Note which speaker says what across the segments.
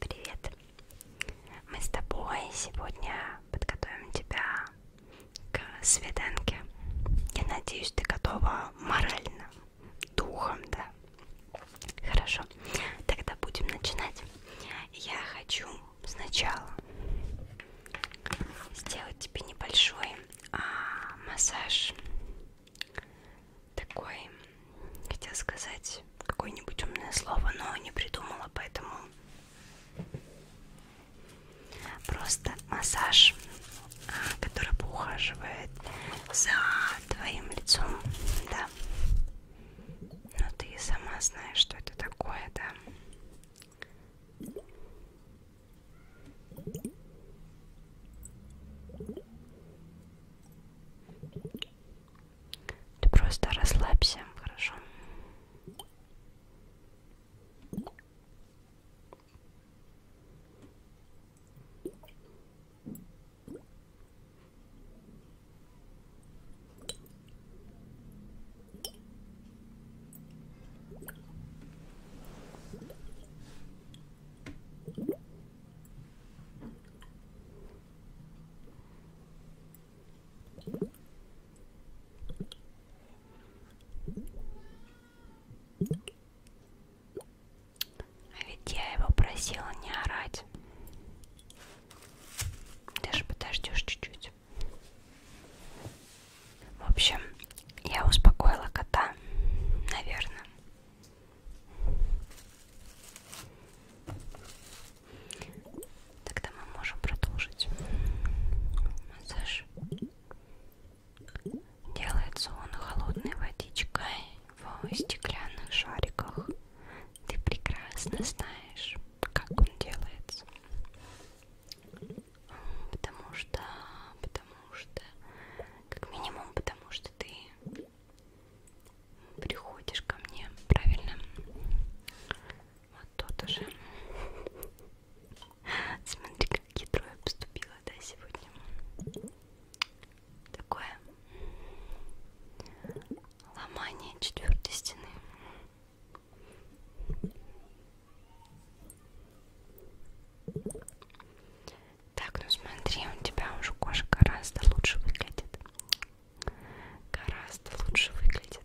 Speaker 1: Привет! Мы с тобой сегодня подготовим тебя к свиданке. Я надеюсь, ты готова морально, духом, да? Хорошо, тогда будем начинать. Я хочу сначала сделать тебе небольшой а, массаж такой, хотела сказать какое-нибудь умное слово, но не придумала, поэтому просто массаж, а, который поухаживает за твоим лицом, да. Но ты и сама знаешь, что это такое, да. Ты просто расслабься, хорошо? А ведь я его просила не орать. Даже подождешь чуть-чуть. В общем, я успокоила кота, наверное. Тогда мы можем продолжить массаж. Делается он холодной водичкой в стеклянных шариках. Ты прекрасно знаешь, как он делается. Потому что, потому что, как минимум, потому что ты приходишь ко мне, правильно? Вот тут уже. Смотри, как ядро я поступила, да, сегодня. Такое ломание четвертой стены. Так, ну смотри, у тебя уже кожа гораздо лучше выглядит. Гораздо лучше выглядит.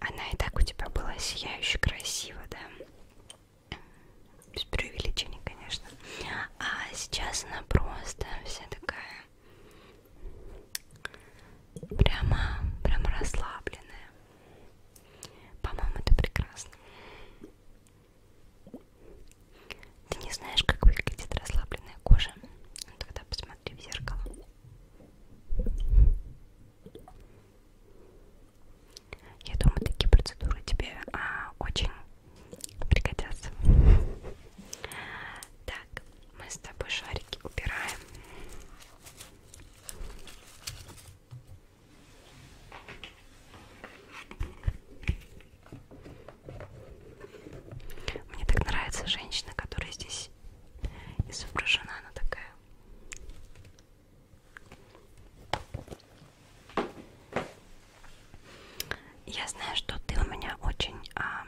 Speaker 1: Она и так у тебя была сияюще красиво, да? Без преувеличения, конечно. А сейчас она просто вся такая прямо, прямо расслабленная. По-моему, это прекрасно. Ты не знаешь, как выглядит расслабленная кожа? Ну, тогда посмотри в зеркало. Я думаю, такие процедуры тебе а, очень пригодятся. Так, мы с тобой шарики убираем. Мне так нравится женщина, которая здесь изображена, она такая. Я знаю, что ты у меня очень, а,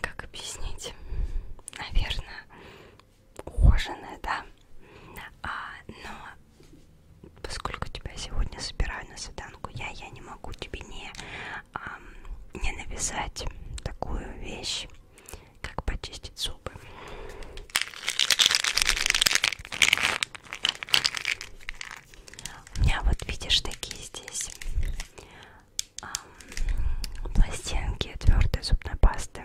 Speaker 1: как объяснить, наверное, ухоженная, да. А, но поскольку тебя сегодня собираю на свиданку, я, я не могу тебе не, а, не навязать такую вещь, как почистить зубы. У меня вот видишь такие здесь а, пластинки твердой зубной пасты.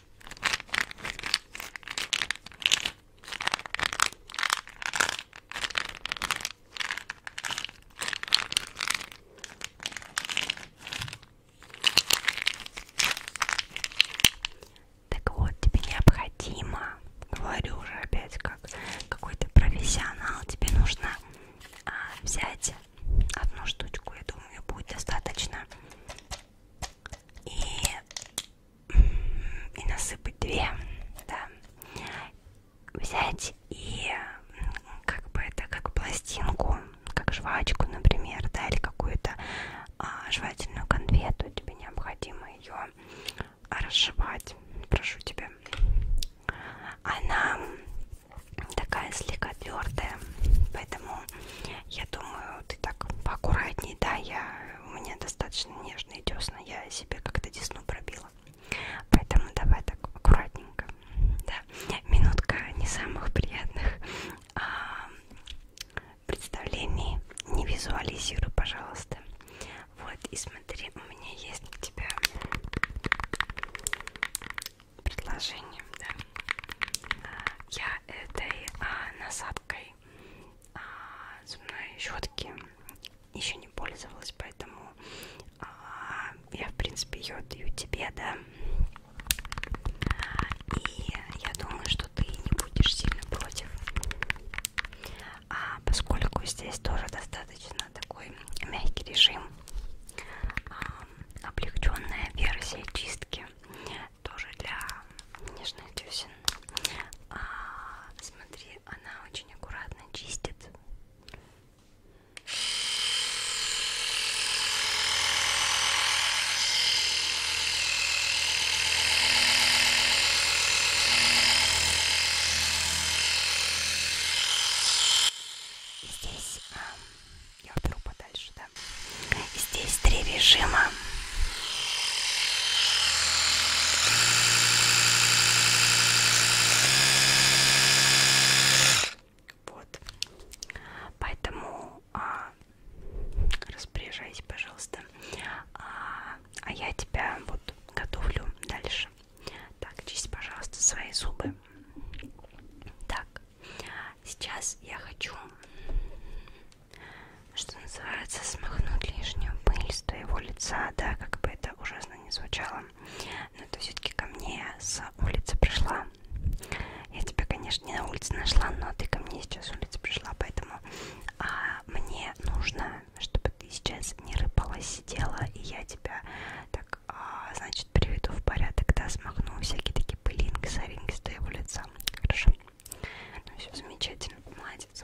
Speaker 1: Так вот, тебе необходимо, говорю уже опять как какой-то профессионал, тебе нужно а, взять одну штучку, я думаю, будет достаточно и, и насыпать две, да, взять и как бы это как пластинку, как жвачку, например, да, или какую-то а, жевательную конфету, тебе необходимо ее разжевать, прошу тебя. Она такая слегка твердая, поэтому я думаю, ты так поаккуратней, да, я, у меня достаточно нежные десна, я себе как-то десну пробила. Поэтому давай так аккуратненько. Да. Минутка не самых приятных а, представлений. Не визуализируй, пожалуйста. Вот, и смотри, у меня есть для тебя предложение да. А, я этой а, насадкой а, зубной щетки еще не пользовалась, поэтому а, я в принципе ее даю тебе, да. И я думаю, что ты не будешь сильно против, а, поскольку здесь тоже достаточно такой мягкий режим, а, облегченная версия чистки тоже для нежных дюсин. А, смотри, она очень аккуратно чистит. Здесь а, я уберу подальше, да. Здесь три режима. Вот. Поэтому а, распоряжайся, пожалуйста. А, а я тебя вот готовлю дальше. Так, чисть, пожалуйста, свои зубы. Так, сейчас я хочу что называется, смахнуть лишнюю пыль с твоего лица, да, как бы это ужасно не звучало. Но ты все-таки ко мне с улицы пришла. Я тебя, конечно, не на улице нашла, но ты ко мне сейчас с улицы пришла, поэтому а, мне нужно, чтобы ты сейчас не рыпалась, а сидела, и я тебя так, а, значит, приведу в порядок, да, смахну всякие такие пылинки, соринки с твоего лица. Хорошо? Ну все замечательно, молодец.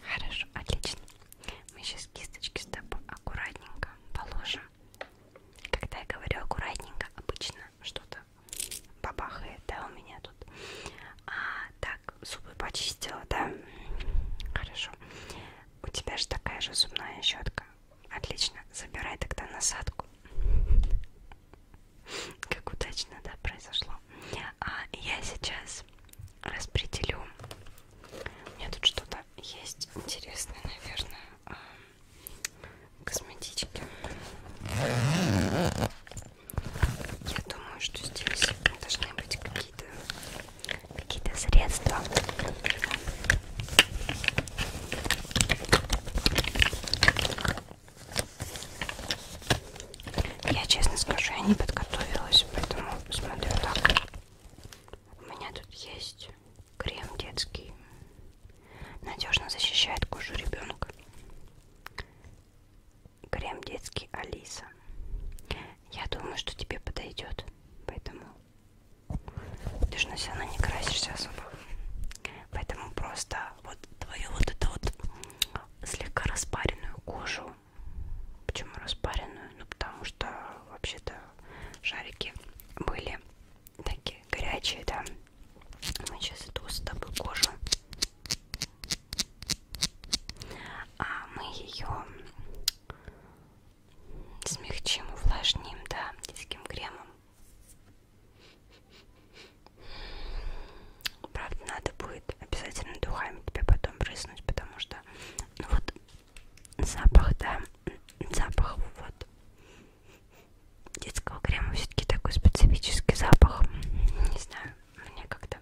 Speaker 1: Хорошо, отлично. Мы сейчас кисточки с тобой аккуратненько положим. Когда я говорю аккуратненько, обычно что-то что-то бабахает, да, у меня тут. А, так, зубы почистила, да? Хорошо. У тебя же такая же зубная щетка. Отлично. Забирай тогда насадку. Как удачно, да, произошло. А я сейчас распределю. У меня тут что-то есть интересное, наверное. А, косметички. Я думаю, что здесь должны быть какие-то какие-то средства. Я честно скажу, я не подготовилась, поэтому смотрю так. У меня тут есть крем детский. Надежно защищает кожу ребенка крем детский Алиса. Я думаю, что тебе подойдет, поэтому ты же на себя не красишься особо. Поэтому просто вот твою вот эту вот слегка распаренную кожу. Почему распаренную? Ну потому что вообще-то шарики были такие горячие, да. Мы сейчас иду с тобой кожу. А мы ее смягчим, увлажним, да, детским кремом. Правда, надо будет обязательно духами тебе потом брызнуть, потому что ну вот запах, да, запах вот детского крема все-таки такой специфический запах. Не знаю мне как-то,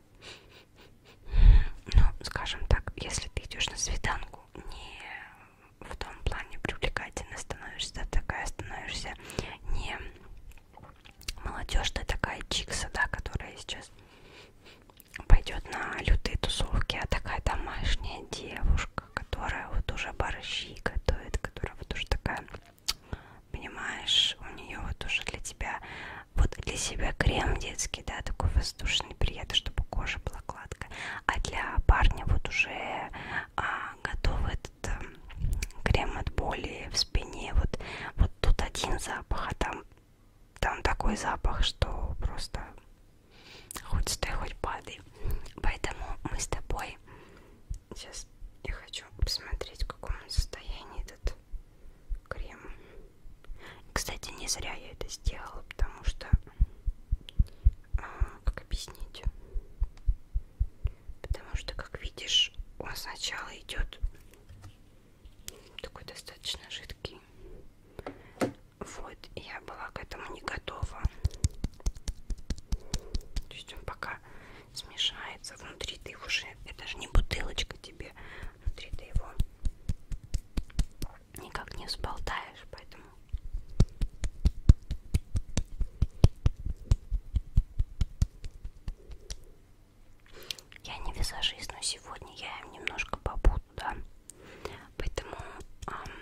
Speaker 1: ну, скажем так, если ты идешь на свиданку, не в том плане привлекательно становишься, ты а такая становишься не молодежь, ты а такая чикса, да, которая сейчас пойдет на лютые тусовки, а такая домашняя девушка, которая вот уже борщи готовит, которая вот уже такая понимаешь, у нее вот уже для тебя, вот для себя крем детский, да, такой воздушный, приятный, чтобы кожа была гладкая, а для парня вот уже а, готов этот а, крем от боли в спине, вот, вот тут один запах, а там, там такой запах, что просто хоть стой, хоть падай, поэтому мы с тобой сейчас я хочу посмотреть, в каком состоянии этот крем. Кстати, не зря я это сделала, потому что... А, как объяснить? Потому что, как видишь, он сначала идет такой достаточно жидкий. Вот, я была к этому не готова. То есть он пока смешается внутри ты уже это же не бутылочка тебе внутри ты его никак не сболтаешь поэтому я не визажист но сегодня я им немножко побуду да поэтому эм...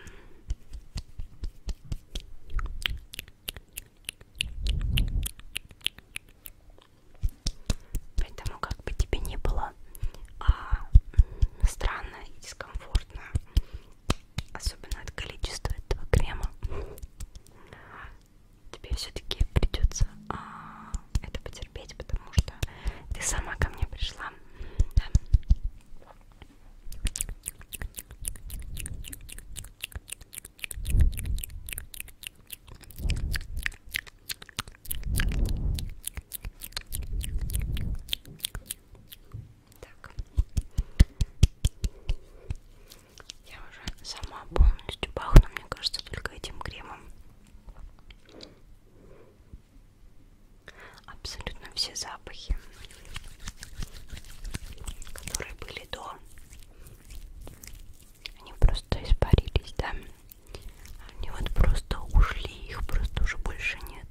Speaker 1: Поэтому как бы тебе не было а, странно и дискомфортно, особенно от количества этого крема, тебе все-таки придется а, это потерпеть, потому что ты сама ко мне пришла. Да. Так. Я уже сама полностью пахну, мне кажется, только этим кремом. Абсолютно все запахи, которые были до, они просто испарились, да? Они вот просто ушли, их просто уже больше нет.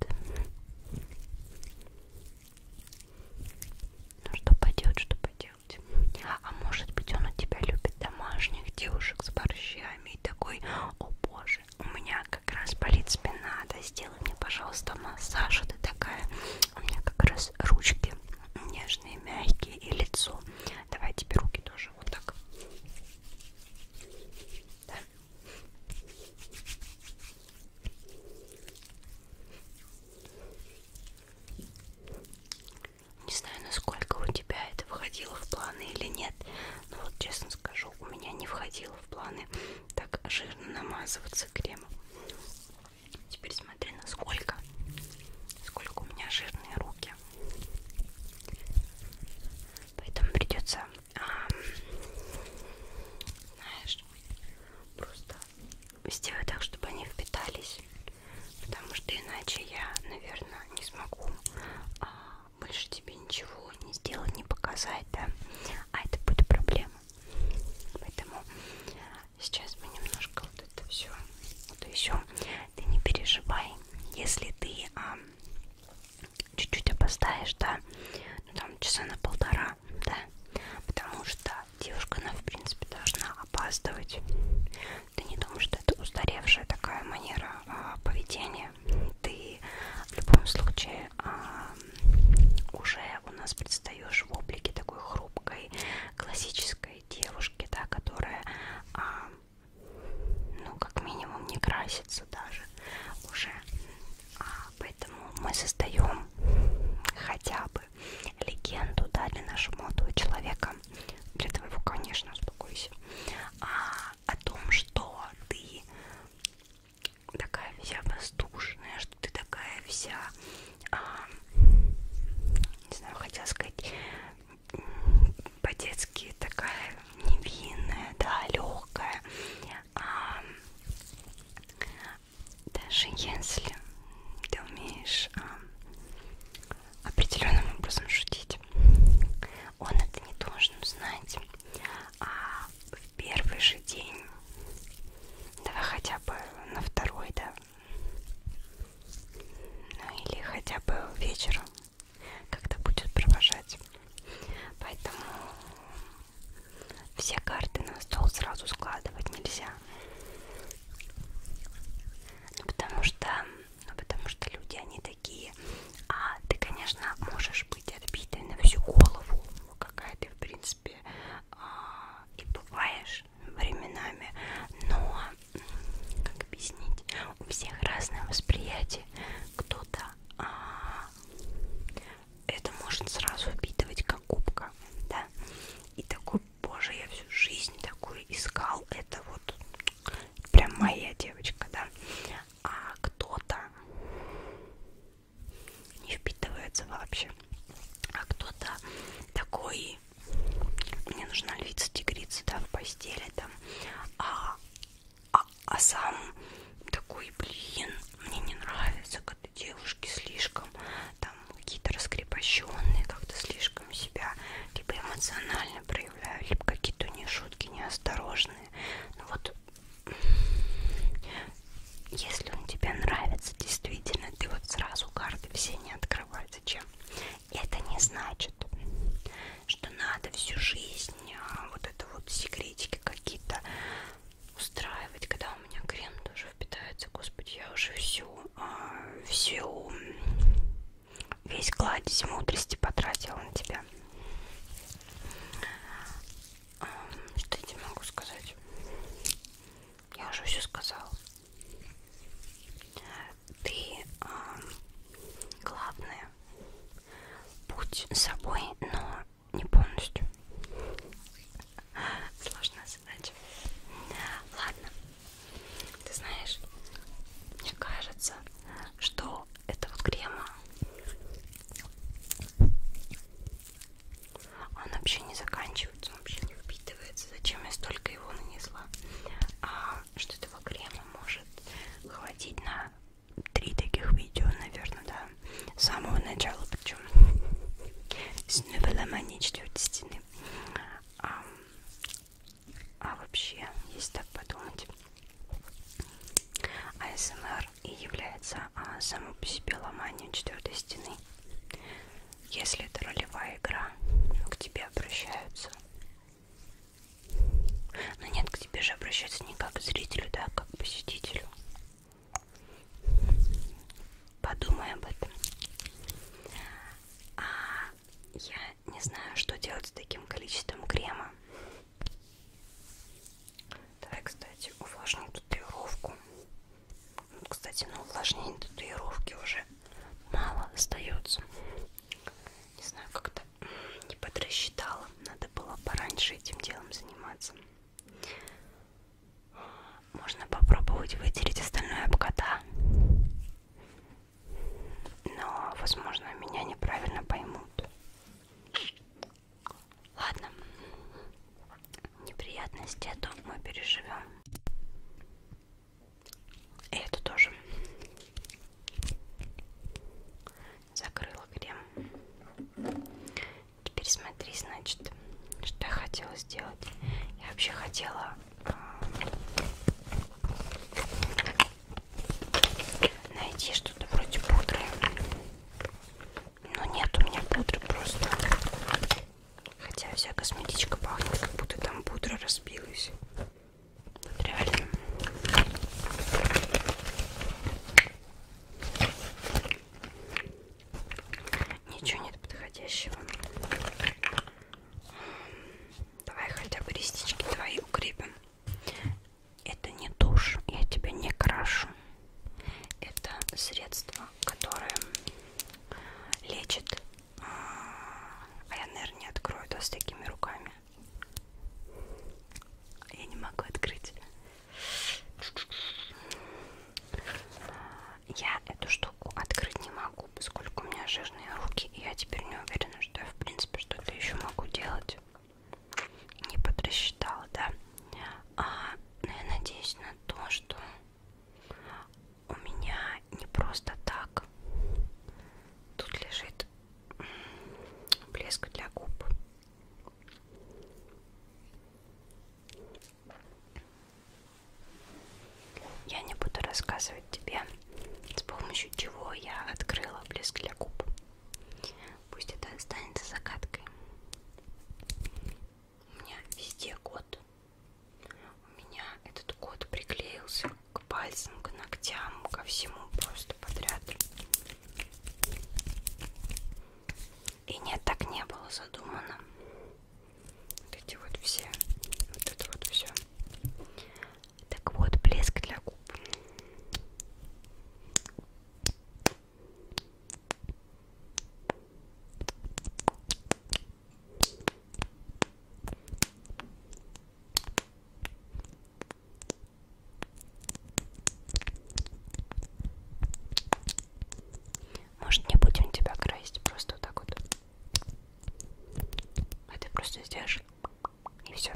Speaker 1: Ну что поделать, что поделать. А может быть он у тебя любит домашних девушек с борщами и такой, о боже, у меня как раз болит спина, да сделай мне, пожалуйста, массаж, а ты такая, у меня как раз ручки нежные, мягкие и лицо Давай тебе руки тоже вот так. Да. Не знаю, насколько у тебя это входило в планы или нет, но вот честно скажу, у меня не входило в планы так жирно намазываться кремом. Теперь смотри, насколько, сколько у меня жирные руки. Поэтому придется, а, знаешь, просто сделать так, чтобы они впитались. Потому что иначе я, наверное, не смогу а, больше тебе ничего не сделать, не показать, да. А это будет проблема. Поэтому Сейчас мы немножко вот это все утрясем. Ты не переживай, если ты а, чуть-чуть а, опоздаешь, да, ну там часа на полтора, да, потому что девушка, она в принципе должна опаздывать. Ты не думаешь, что это устаревшая такая манера а, поведения. Ты в любом случае а, уже у нас предстаешь в облике такой хрупкой, классической красивой девушки, да, которая, а, ну, как минимум, не красится даже уже. А, поэтому мы создаем хотя бы легенду, да, для нашего молодого человека, для твоего, конечно, успокойся, а, о том, что ты такая вся воздушная, что ты такая вся, а, не знаю, хотела сказать, по-детски такая невинная, да, легкая. А, даже если ты умеешь а, определенным образом шутить, он это не должен знать. А в первый же день, давай хотя бы на второй, да, ну или хотя бы вечером, когда будет провожать. Поэтому все карты на стол сразу складывать нельзя. Ну, потому что, ну, потому что люди, они такие. А ты, конечно, можешь быть отбитой на всю голову, какая ты, в принципе, а, и бываешь временами, но как объяснить, у всех разное восприятие. Кто-то а, это может сразу впитывать как губка, да. И такой, боже, я всю жизнь такую искал, это вот прям моя девочка, да. А кто-то не впитывается вообще, а кто-то такой мне нужна львица тигрица, да, в постели там, а, а, а сам такой, блин, мне не нравится, когда девушки слишком там какие-то раскрепощенные, как-то слишком себя либо типа, эмоционально проявляют, либо какие-то у них шутки неосторожные. Ну вот, если он тебе нравится, действительно, ты вот сразу карты все не открывай. Зачем? это не значит, что надо всю жизнь а, вот это вот секретики какие-то устраивать, когда у меня крем тоже впитается, господи, я уже всю, а, всю, весь кладезь мудрости потратила на тебя. А, что я тебе могу сказать? Я уже все сказала ты э, главное будь собой, но не полностью. Сложная задача. Ладно. Ты знаешь, мне кажется, что это вот крема. Он вообще не заканчивается, он вообще не впитывается. Зачем я столько его нанесла? А, что этого крема может хватить на три таких видео, наверное, да, с самого начала, причем с новеломании четвертой стены. А, а вообще, если так подумать, АСМР и является а, само по себе ломанием четвертой стены если это ролевая игра, к тебе обращаются. Но ну нет, к тебе же обращаются не как к зрителю, да, а как к посетителю. Подумай об этом. А я не знаю, что делать с таким количеством крема. Давай, кстати, увлажним татуировку. Кстати, на ну, увлажнение татуировки уже мало остается. Не знаю, как-то не подрасчитала. Надо было пораньше этим делом заниматься. Можно попробовать вытереть остальное об кота. Но, возможно, меня неправильно поймут. Ладно. Неприятности, а то мы переживем. И эту тоже закрыла крем. Теперь смотри, значит, что я хотела сделать. Я вообще хотела а, найти что-то вроде пудры. Но нет у меня пудры просто. Хотя вся косметичка пахнет, как будто там пудра разбилась. Вот реально. Ничего нет подходящего. Давай хотя бы реснички твои укрепим. Это не тушь, я тебя не крашу. Это средство, которое лечит а я, наверное, не открою, да, с такими руками. Я не могу открыть. Я эту штуку открыть не могу, поскольку у меня жирные руки, и я теперь не уверена, что я, в принципе, что-то еще могу делать. Не подрасчитала, да? А, но ну, я надеюсь на то, что у меня не просто так тут лежит блеск для губ. Я не буду рассказывать тебе, с помощью чего я открыла блеск для губ. Пусть это останется загадкой. У меня везде год у меня этот кот приклеился к пальцам, к ногтям, ко всему просто подряд. И нет, так не было задумано. Вот эти вот все, вот это вот все. Так вот, блеск для губ. Может, не будем тебя красить, просто вот так вот. А ты просто сделаешь и все.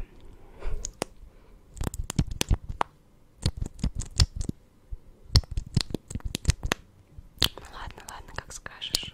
Speaker 1: Ну ладно, ладно, как скажешь.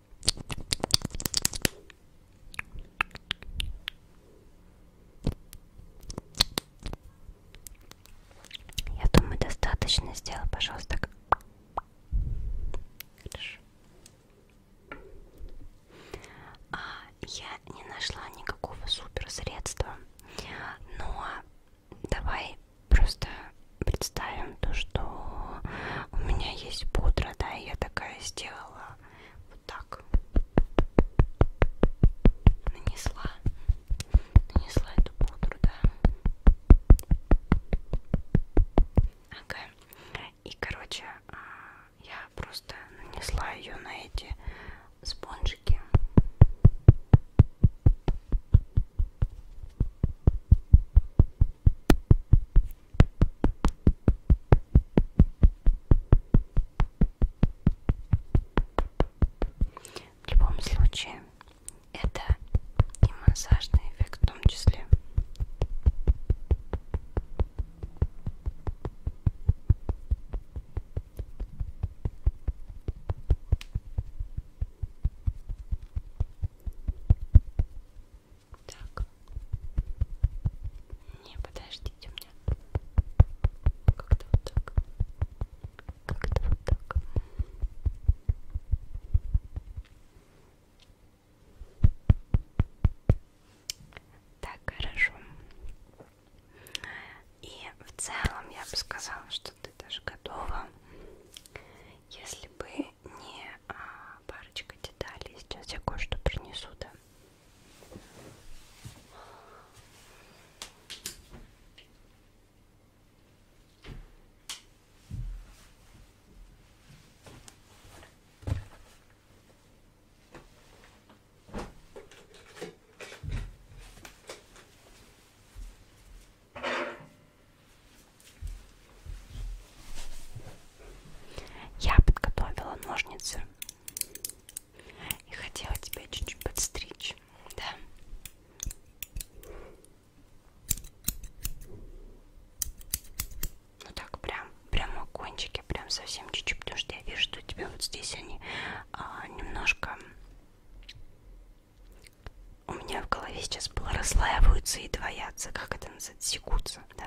Speaker 1: Я думаю, достаточно сделал, пожалуйста. Хорошо. А, я не нашла никакого супер средства, но давай просто представим то, что у меня есть пудра, да, и я такая сделала вот так. Нанесла. Нанесла эту пудру, да. Ага. И, короче, а, я просто нанесла ее на эти спонжики. В любом случае, это и массажный эффект в том числе. Так. Не, подождите, у меня как-то вот так. Как-то вот так. Так, хорошо. И в целом я бы сказала, что ты даже готова. Если бы не а, парочка деталей. Сейчас я кое-что принесу, да. Я подготовила ножницы и хотела тебя чуть-чуть подстричь, да? Ну так прям, прямо кончики, прям совсем чуть-чуть, потому что я вижу, что у тебя вот здесь они а, немножко... У меня в голове сейчас было расслаиваются и двоятся, как это называется? секутся, секутся, да.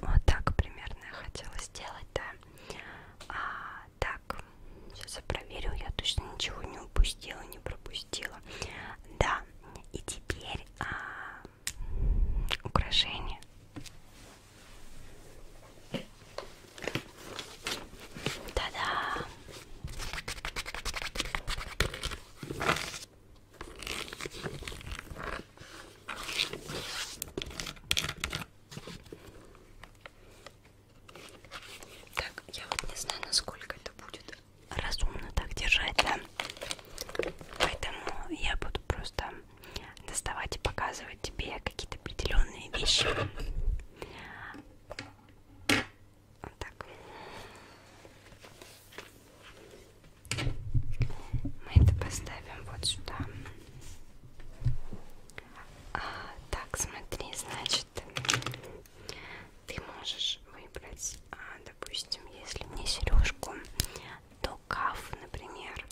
Speaker 1: Вот так примерно я хотела сделать, да. А, так, сейчас я проверю, я точно ничего не упустила, не пропустила. Да, и теперь а, украшение. Та-да! Так, я вот не знаю, насколько это будет разумно так держать, да? Поэтому я буду просто доставать и показывать тебе какие-то определенные вещи. Вот так. Мы это поставим вот сюда. А, так, смотри, значит, ты можешь выбрать, а, допустим, если мне сережку, то каф, например,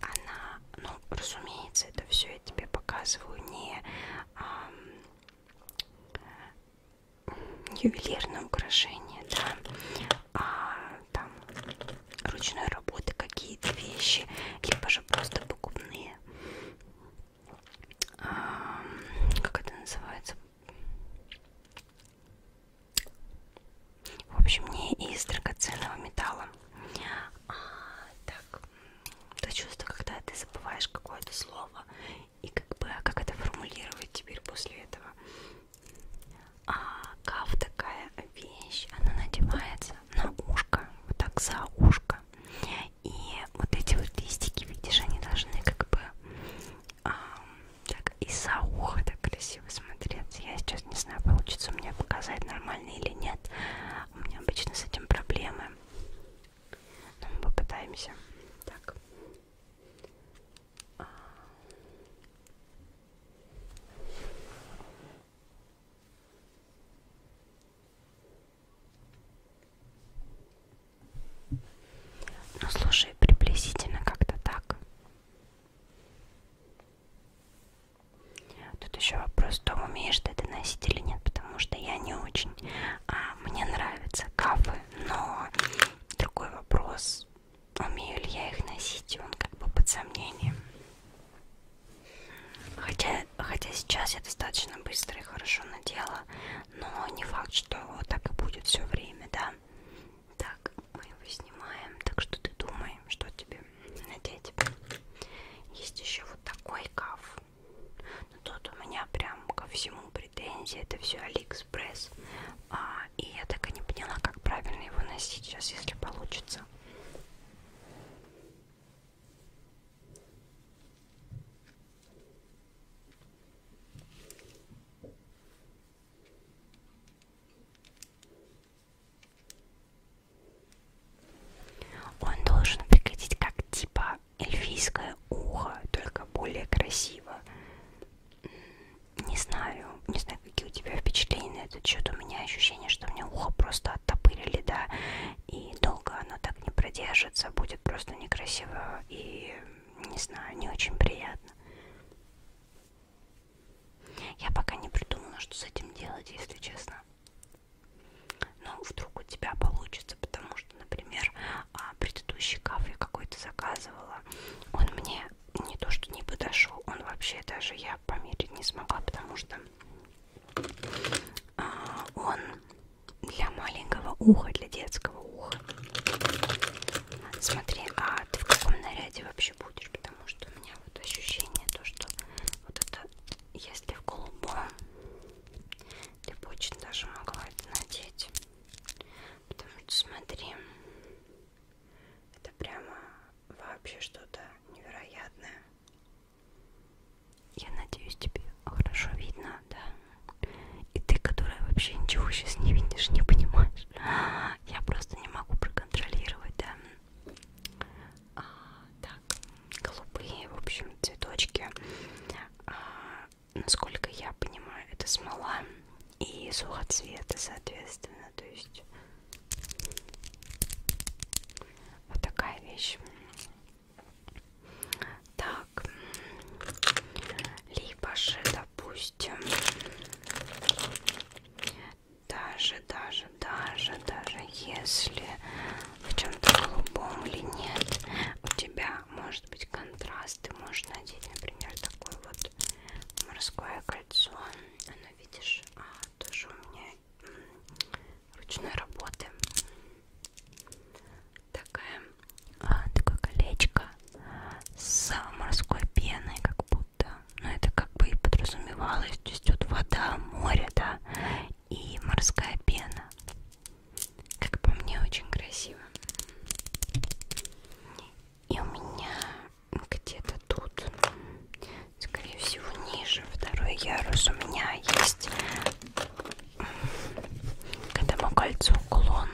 Speaker 1: она, ну, разумеется, это все я тебе показываю не а, ювелирное украшение, да, а там ручной работы какие-то вещи, либо же просто покупные. А, как это называется? В общем, не из драгоценного металла. А, так, то чувство, когда ты забываешь какое-то слово и как бы, а как это формулировать теперь после этого. А кав такая вещь, она надевается на ушко, вот так за ушко. И вот эти вот листики, видишь, они должны как бы а, так и за ухо так красиво смотреться. Я сейчас не знаю, получится мне показать нормально или нет. У меня обычно с этим проблемы. Но мы попытаемся. Так. А. Ну слушай, приблизительно как-то так. Тут еще вопрос в том, умеешь ты доносить или нет, потому что я не очень. А, мне нравятся кафы, но другой вопрос, умею ли я их носить, он как бы под сомнением. Хотя, хотя сейчас я достаточно быстро и хорошо надела, но не факт, что так и будет все время, да. Так, мы его снимаем, так что ты думай, что тебе надеть. Есть еще вот такой каф. Но ну, тут у меня прям ко всему претензии, это все Алиэкспресс. А, и я так и не поняла, как правильно его носить. Сейчас, если получится, нравится. Он должен выглядеть как типа эльфийское ухо, только более красиво. Не знаю, не знаю, какие у тебя впечатления на этот счет. У меня ощущение, что мне ухо просто оттопырили, да, и долго оно так не продержится, будет просто некрасиво и, не знаю, не очень приятно. Я пока не придумала, что с этим делать, если честно. Но ну, вдруг у тебя получится, потому что, например, а, предыдущий кафе какой-то заказывала, он мне не то что не подошел, он вообще даже я померить не смогла, потому что а, он для маленького уха, для детского уха. Смотри, а ты в каком наряде вообще будешь? Потому что у меня вот ощущение то, что вот это, если в голубом, ты бы очень даже могла это надеть. Потому что смотри, это прямо вообще что-то невероятное. Я надеюсь, тебе хорошо видно, да? И ты, которая вообще ничего сейчас не видишь, не понимаешь. Я просто не могу проконтролировать, да? А, так, голубые, в общем, цветочки. А, насколько я понимаю, это смола и сухоцветы, соответственно. То есть вот такая вещь. Так. Либо же, допустим, даже, даже, даже, даже если в чем-то голубом или нет, у тебя может быть контраст. Ты можешь надеть, например, такое вот морское кольцо. Оно, видишь, а, тоже у меня ручной работы. Такая, а, такое колечко с морской пеной, как будто. Но ну, это как бы и подразумевалось. То есть вот вода, море, да, и морская пена. Как по мне, очень красиво. И у меня где-то тут скорее всего ниже второй ярус у меня есть к этому кольцу уклон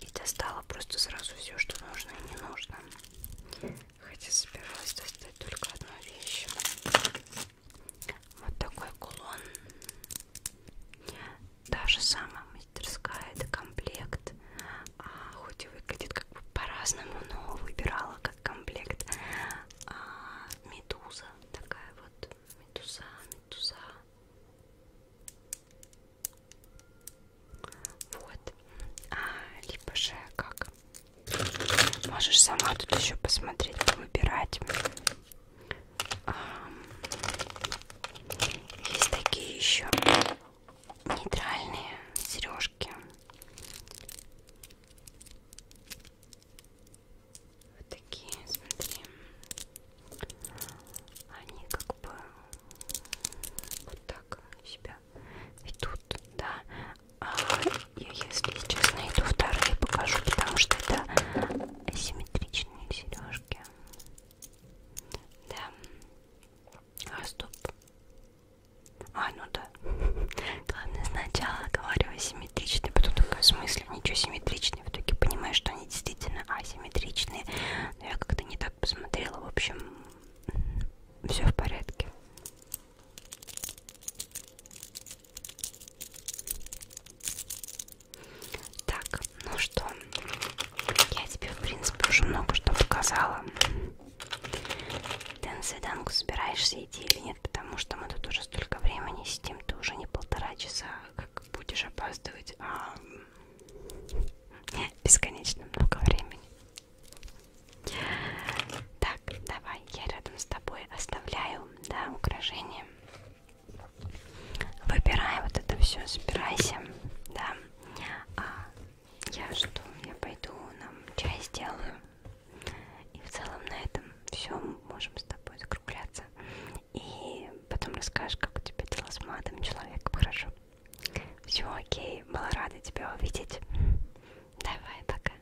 Speaker 1: и достала просто сразу все что нужно и не нужно хотя собиралась достать только одну вещь вот такой кулон. Та же самая мастерская, это комплект. А, хоть и выглядит как бы по-разному, но выбирала как комплект. А, медуза. Такая вот медуза, медуза. Вот. А, либо же как Можешь сама тут еще посмотреть, выбирать. Есть такие еще нейтральные сережки. Вот такие, смотри. Они как бы вот так себя ведут, да. А я, если сейчас найду вторые, покажу, потому что это асимметричные сережки. Да. А стоп. А, ну да. Главное сначала говорю асимметричные, потом такой смысле ничего симметричные. В итоге понимаю, что они действительно асимметричные. Но я как-то не так посмотрела. В общем, все в порядке. Так, ну что, я тебе, в принципе, уже много что показала. Ты на свиданку собираешься идти или нет, потому что мы тут уже столько времени сидим, ты уже не полтора часа, как будешь опаздывать, а бесконечно много времени. Так, давай, я рядом с тобой оставляю, да, украшения времени. Выбирай вот это все, собирайся, да. А я что, я пойду нам чай сделаю. И в целом на этом все, можем с тобой закругляться. И потом расскажешь, как у тебя дела с молодым человеком, хорошо? Все окей, была рада тебя увидеть. Давай, пока.